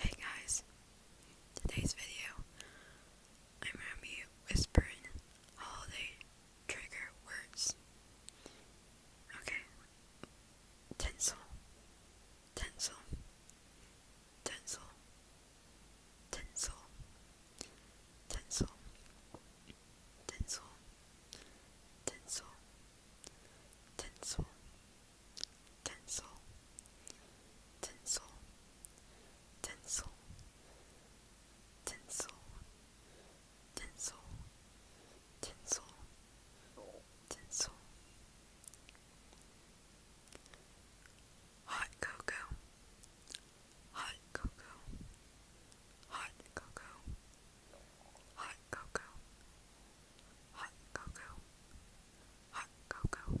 Hey guys, today's video I'm happy whispering holiday trigger words. Okay. Tinsel. Tinsel. Tinsel. Tinsel. Tinsel. Tinsel. Tinsel. Tinsel. Tinsel tinsel, tinsel, tinsel, tinsel, tinsel, tinsel, tinsel. Hot cocoa, hot cocoa, hot cocoa, hot cocoa, hot cocoa, hot cocoa,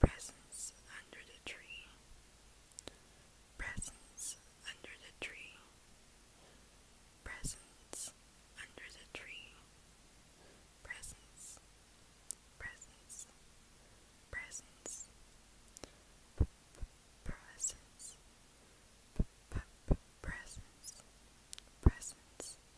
Presents under the tree. Presents under the tree. Presents under the tree. Presents. Presents. Presents. P -p presents. P -p presents. Presents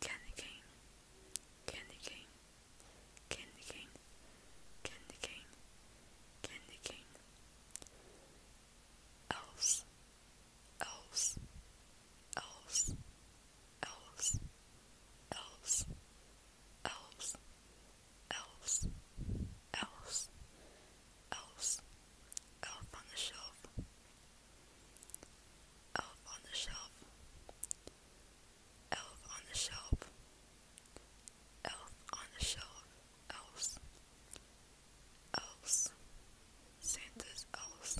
Candy cane, candy cane, candy cane, candy cane, candy cane. Else, else, else, else, else, else, else, else, else, elf on the shelf. Elf on the shelf. Elf on the shelf. Elf on the shelf. Elves. Elves. Santa's elves.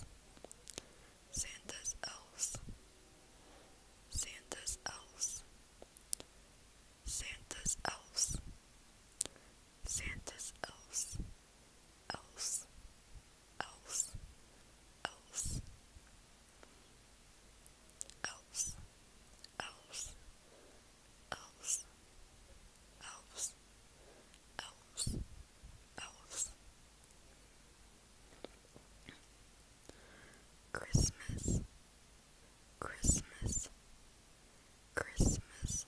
Santa's elves. Santa's elves. Santa's elves. Santa's elves else, else, else, else, else, else, else, else, else. Christmas, Christmas, Christmas,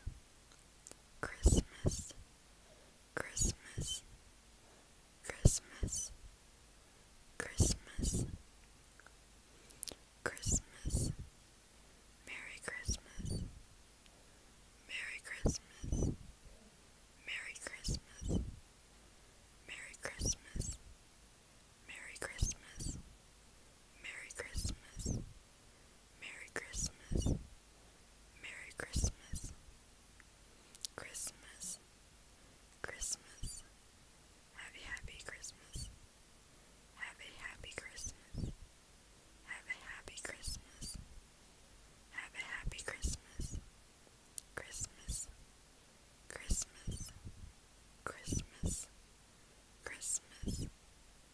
Christmas, Christmas, Christmas, Christmas, Christmas, Merry Christmas, Merry Christmas, Merry Christmas, Merry Christmas, Merry Christmas, Merry Christmas, Merry Christmas. Merry Christmas. Christmas. Christmas. Have a happy Christmas. Have a happy Christmas. Have a happy Christmas. Have a happy Christmas. Christmas. Christmas. Christmas. Christmas.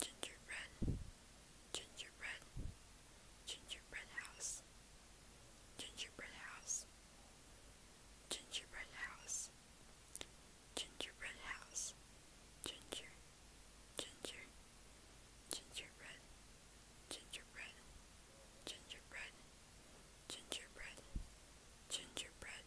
gingerbread, gingerbread, gingerbread house, gingerbread house, gingerbread house, gingerbread house, ginger, ginger, gingerbread, gingerbread, gingerbread, gingerbread, gingerbread,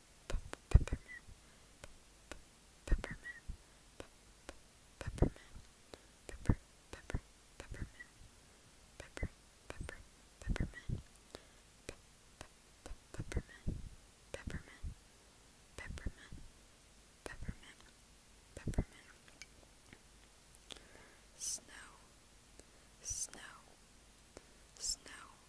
peppermint, peppermint, peppermint, pepper, pepper, peppermint, pepper, peppermint, peppermint, peppermint, peppermint, peppermint, peppermint, snow, snow, snow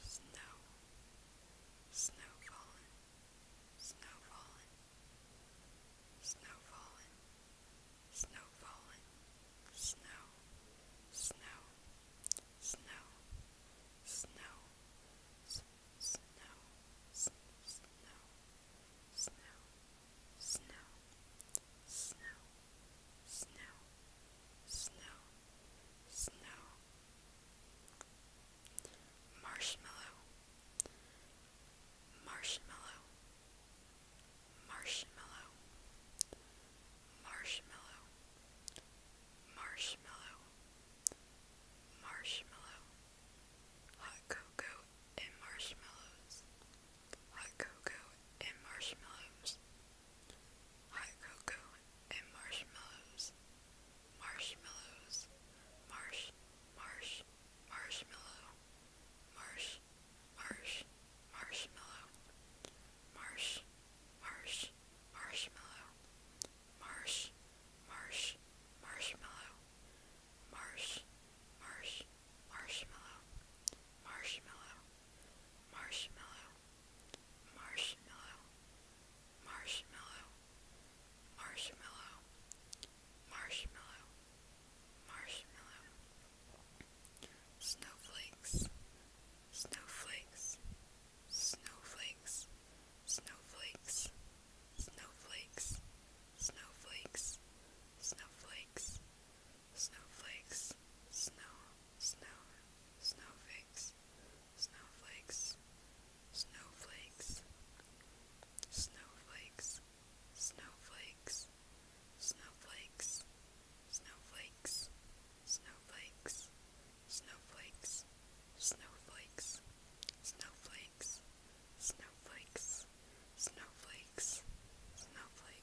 Snow, snow falling, snow falling, snow, snow, snow, snow, snow, snow, snow, snow, snow snow, snow, snow. Marshmallow, marshmallow, marshmallow, marshmallow, marshmallow, hot cocoa and marshmallows, hot cocoa and marshmallows hot cocoa, and marshmallows. Marshmallows. Marsh, marsh, marshmallow. Marsh, marsh, marshmallow. Marsh, marsh, marshmallow. Marsh, marsh, marshmallow. Marshmallow marshmallow, marshmallow, marshmallow, marshmallow, marshmallow, marshmallow, snowflakes, snowflakes, snowflakes, snowflakes, snowflakes, snowflakes, snowflakes, snowflakes, snow, snow, snowflakes, snowflakes, snowflakes, snowflakes, snowflakes, snowflakes, snowflakes, snowflakes, snowflakes, snowflakes, snowflakes, snowflakes, snowflakes, snowflakes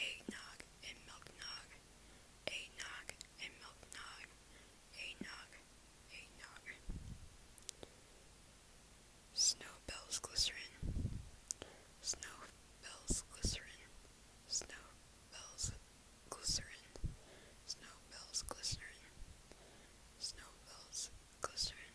eggnog and milk nog, eggnog and milk nog, eggnog, eggnog. Snowbells glycerin, snowbells glycerin, snowbells glycerin, snowbells glycerin, snowbells glycerin, snowbells glycerin,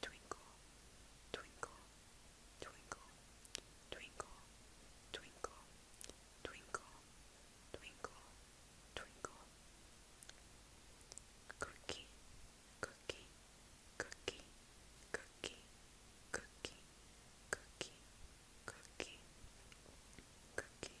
Twinkle, twinkle, twinkle, twinkle, twinkle, twinkle, twinkle, twinkle. Cookie, cookie, cookie, cookie, cookie, cookie, cookie, cookie,